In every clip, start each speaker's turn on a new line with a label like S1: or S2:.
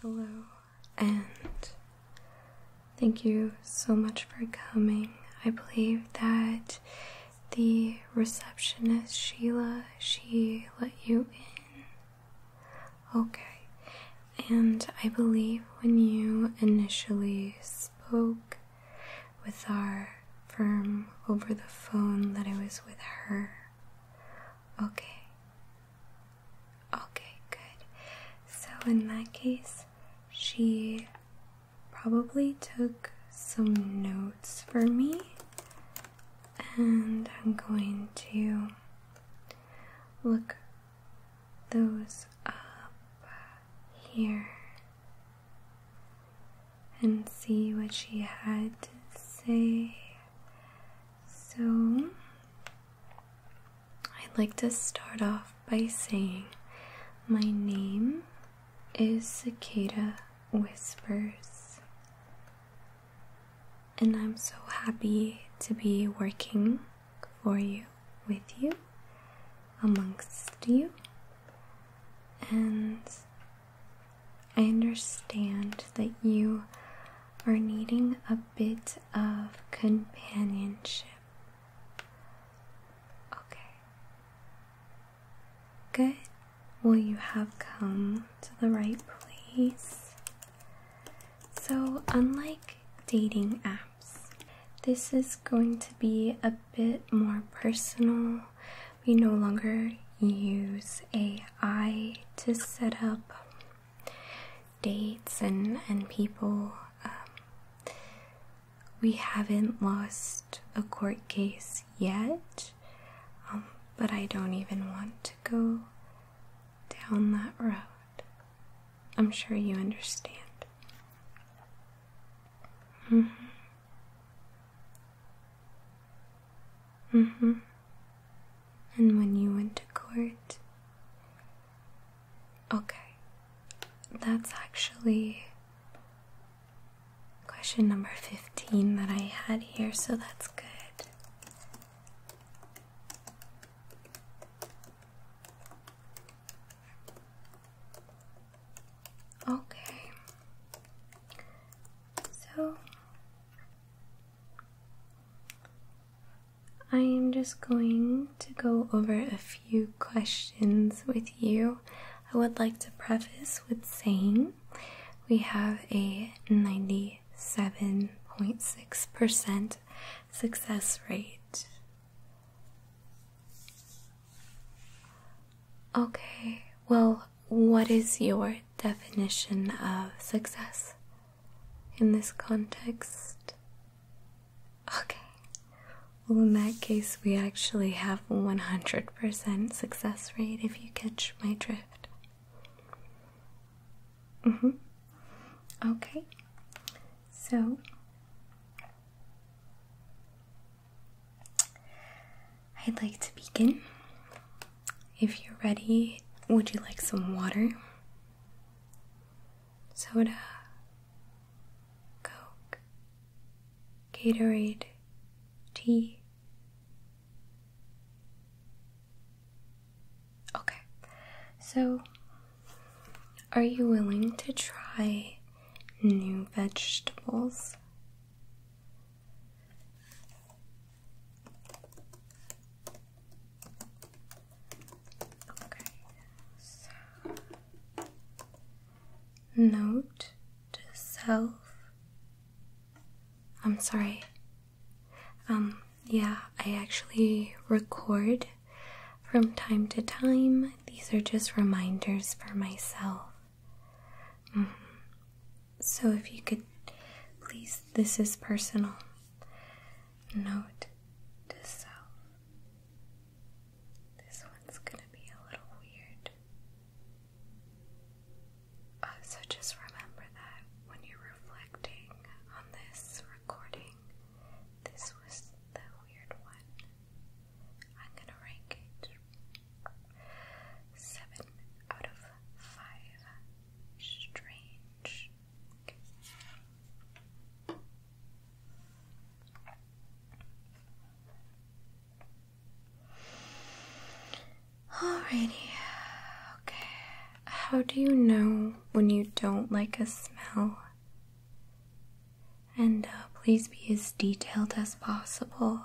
S1: Hello, and thank you so much for coming. I believe that the receptionist, Sheila, she let you in. Okay, and I believe when you initially spoke, with our firm over the phone that I was with her. Okay. Okay, good. So, in that case, she probably took some notes for me, and I'm going to look those up here and see what she had to say. So, I'd like to start off by saying my name is Cicada Whispers, and I'm so happy to be working for you, with you, amongst you, and I understand that you are needing a bit of companionship. Okay. Good. Well, you have come to the right place. So, unlike dating apps, this is going to be a bit more personal we no longer use AI to set up dates and, and people. Um, we haven't lost a court case yet, um, but I don't even want to go down that road. I'm sure you understand. Mm-hmm. Mm hmm. And when you went to court? Okay. That's actually question number 15 that I had here, so that's good. Okay. So I am just going to go over a few questions with you. I would like to preface with saying we have a 97.6% success rate. Okay, well, what is your definition of success in this context? Okay. Well, in that case, we actually have a 100% success rate if you catch my drift. Mm hmm. Okay. So, I'd like to begin. If you're ready, would you like some water? Soda, Coke, Gatorade, tea. Okay, so are you willing to try new vegetables? Okay, so note to self. I'm sorry. Um, yeah, I actually record from time to time. These are just reminders for myself. Mm-hmm. So, if you could please, this is personal. Note to self. This one's gonna be a little weird. Uh, so, just remember that when you're reflecting on this recording, this was the weird one. I'm gonna rank it Seven out of five. Strange. Alrighty. Okay. How do you know when you don't like a smell? And uh, please be as detailed as possible.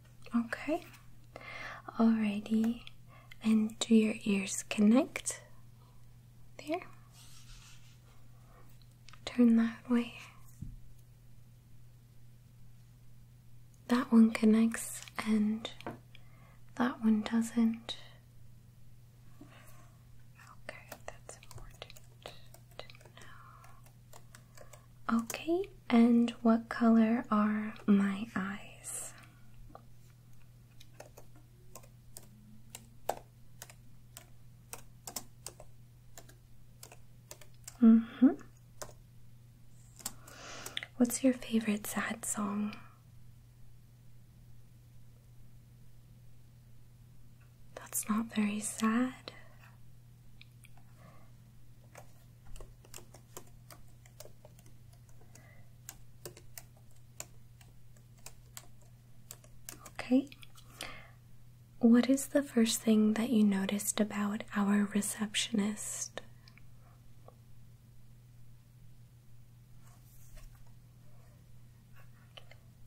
S1: Okay. Alrighty. And do your ears connect? There. Turn that way. That one connects and that one doesn't. Okay, that's important to know. Okay, and what color are my eyes? Mhm. What's your favorite sad song? That's not very sad. Okay. What is the first thing that you noticed about our receptionist?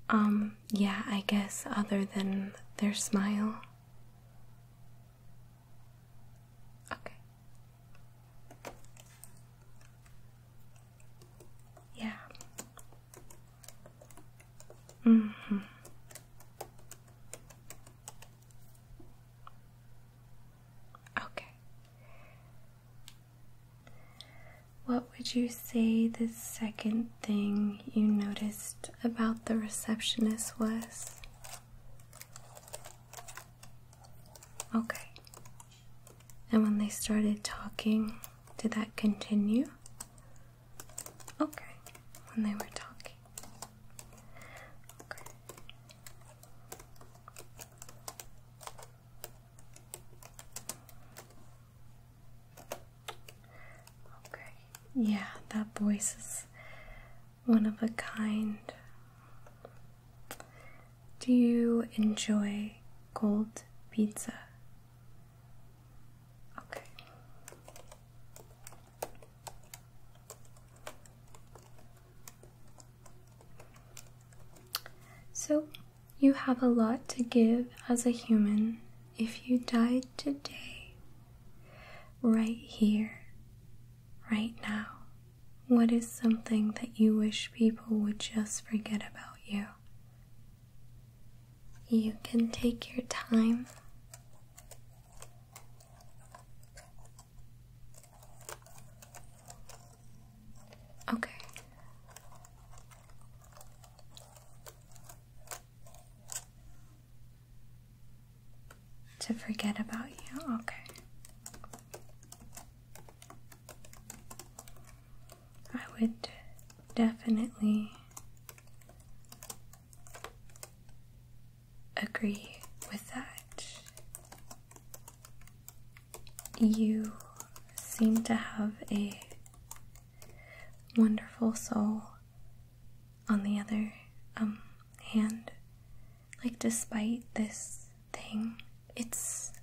S1: Um, yeah, I guess other than their smile. Okay. Yeah. Mm hmm Okay. What would you say the second thing you noticed about the receptionist was? Okay. And when they started talking, did that continue? Okay, when they were talking. Okay. Okay. Yeah, that voice is one of a kind. Do you enjoy cold pizza? Okay. So, you have a lot to give as a human if you died today, right here, right now? What is something that you wish people would just forget about you? You can take your time. Okay. To forget about you? Okay. I would definitely agree with that. You seem to have a wonderful soul on the other um, hand like despite this thing, it's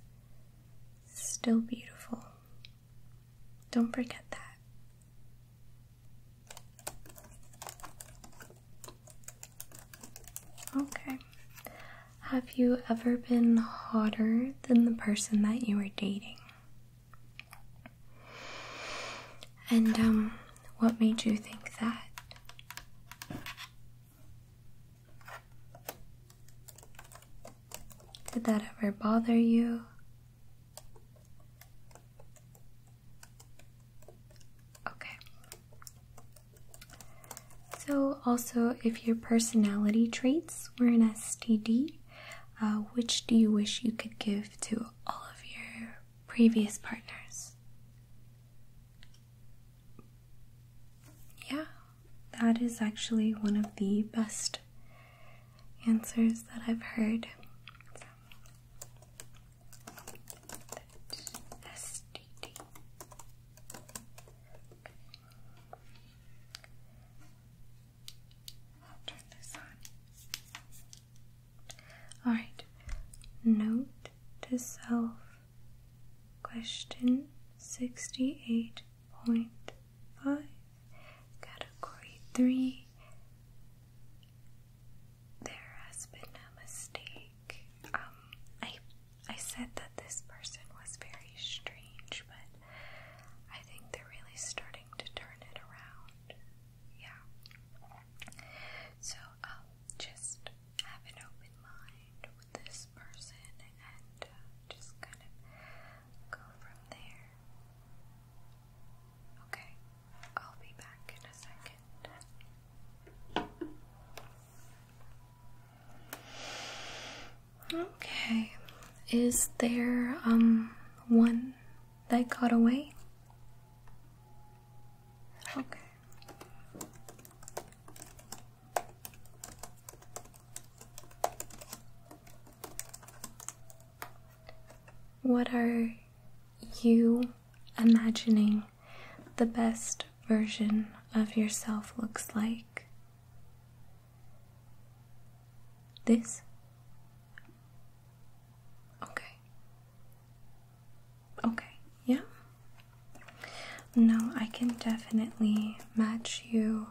S1: still beautiful. Don't forget that. Okay. Have you ever been hotter than the person that you were dating? And um what made you think that? Did that ever bother you? Okay. So, also, if your personality traits were an STD, uh, which do you wish you could give to all of your previous partners? Yeah, that is actually one of the best answers that I've heard. All right. Note to self Question 68.5, Category 3. There has been a mistake. Um, I, I said that this person was very strange, but I think they're really starting to turn it around. Yeah. So just have an open mind with this person and uh, just kind of go from there. Okay, I'll be back in a second. Okay, is there um one that got away? Okay. What are you imagining the best version of yourself looks like? This? Okay. Okay, yeah. No, I can definitely match you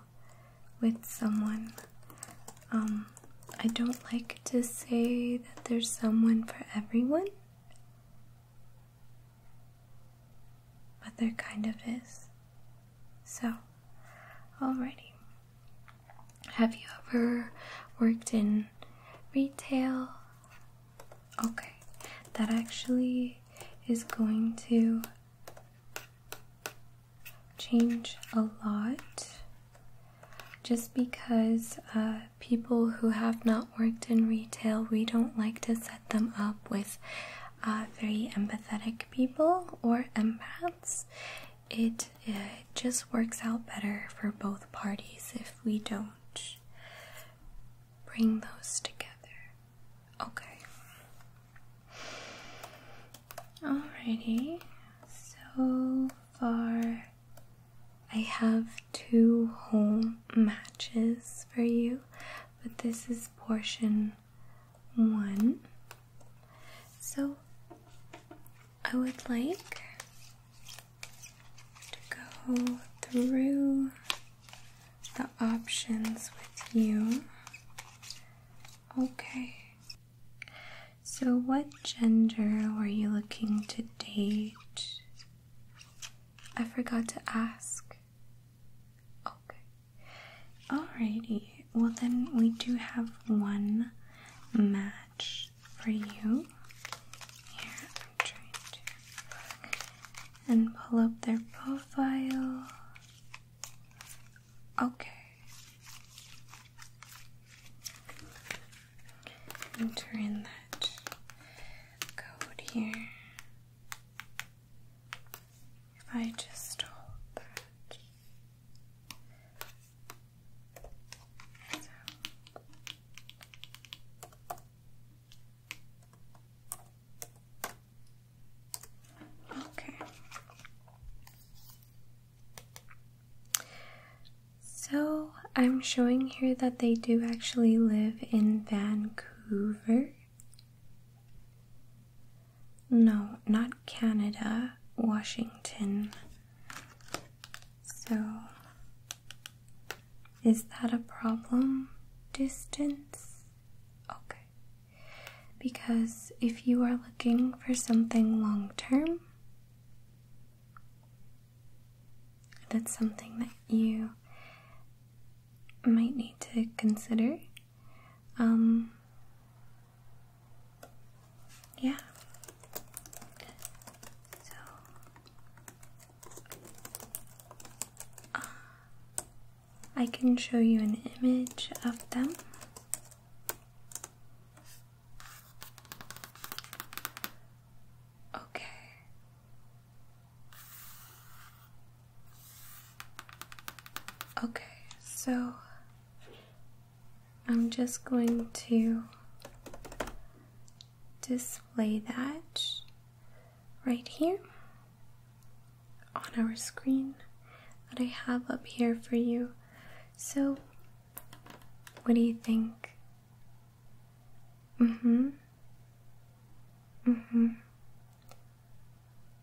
S1: with someone. Um, I don't like to say that there's someone for everyone, but there kind of is. So, alrighty. Have you ever worked in retail? Okay, that actually is going to change a lot just because uh, people who have not worked in retail, we don't like to set them up with uh, very empathetic people or empaths. it uh, just works out better for both parties if we don't bring those together. Okay. Alrighty, so far I have two home matches for you, but this is portion one. So I would like to go through the options with you. Okay. So, what gender were you looking to date? I forgot to ask. Okay. Alrighty. Well, then we do have one match for you. Here, I'm trying to plug and pull up their profile. Okay. Enter in that code here. If I just hold that. Okay. So I'm showing here that they do actually live in Vancouver. No, not Canada, Washington. So is that a problem? Distance? Okay. Because if you are looking for something long term, that's something that you might need to consider. Um, yeah. So Ah, I can show you an image of them. Okay. Okay, so I'm just going to display that right here on our screen that I have up here for you. So, what do you think? Mm hmm. Mm hmm.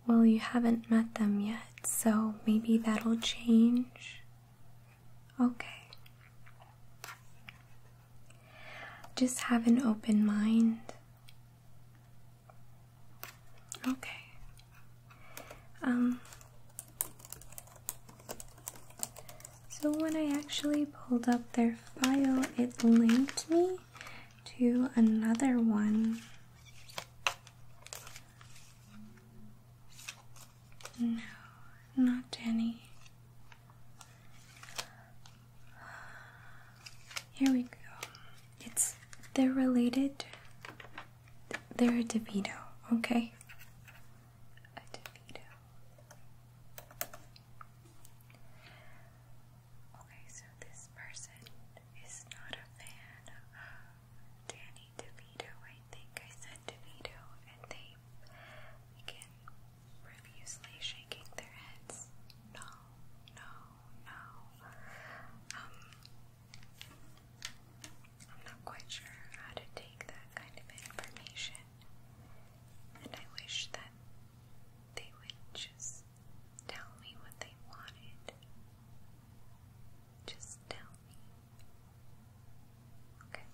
S1: Well, you haven't met them yet, so maybe that'll change. Okay. Just have an open mind. Okay. Um, so when I actually pulled up their file, it linked me to another one. No, not Jenny. Here we go. It's they're related. They're a DeVito, okay? Okay, so this person is not a fan of Danny DeVito. I think I said DeVito, and they again profusely shaking their heads. No, no, no. Um, I'm not quite sure how to take that kind of information, and I wish that they would just tell me what they wanted. Just tell me. Okay.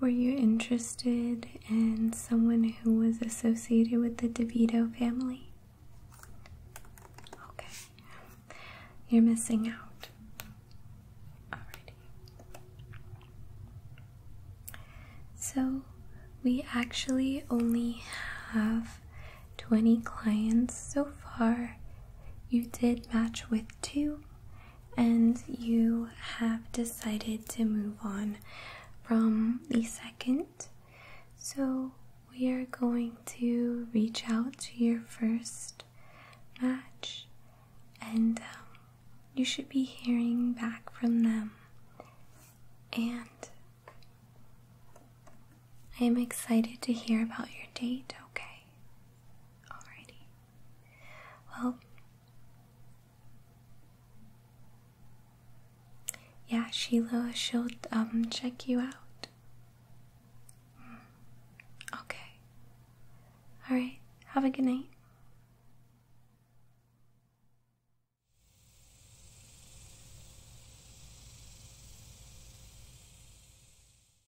S1: Were you interested in someone who was associated with the DeVito family? Okay. You're missing out. Alrighty. So, we actually only have 20 clients so far. You did match with two, and you have decided to move on from the second. So we are going to reach out to your first match, and um, you should be hearing back from them. And I am excited to hear about your date, okay? Alrighty. Well, yeah, Sheila, she'll um check you out. Hmm. Okay. Alright, have a good night.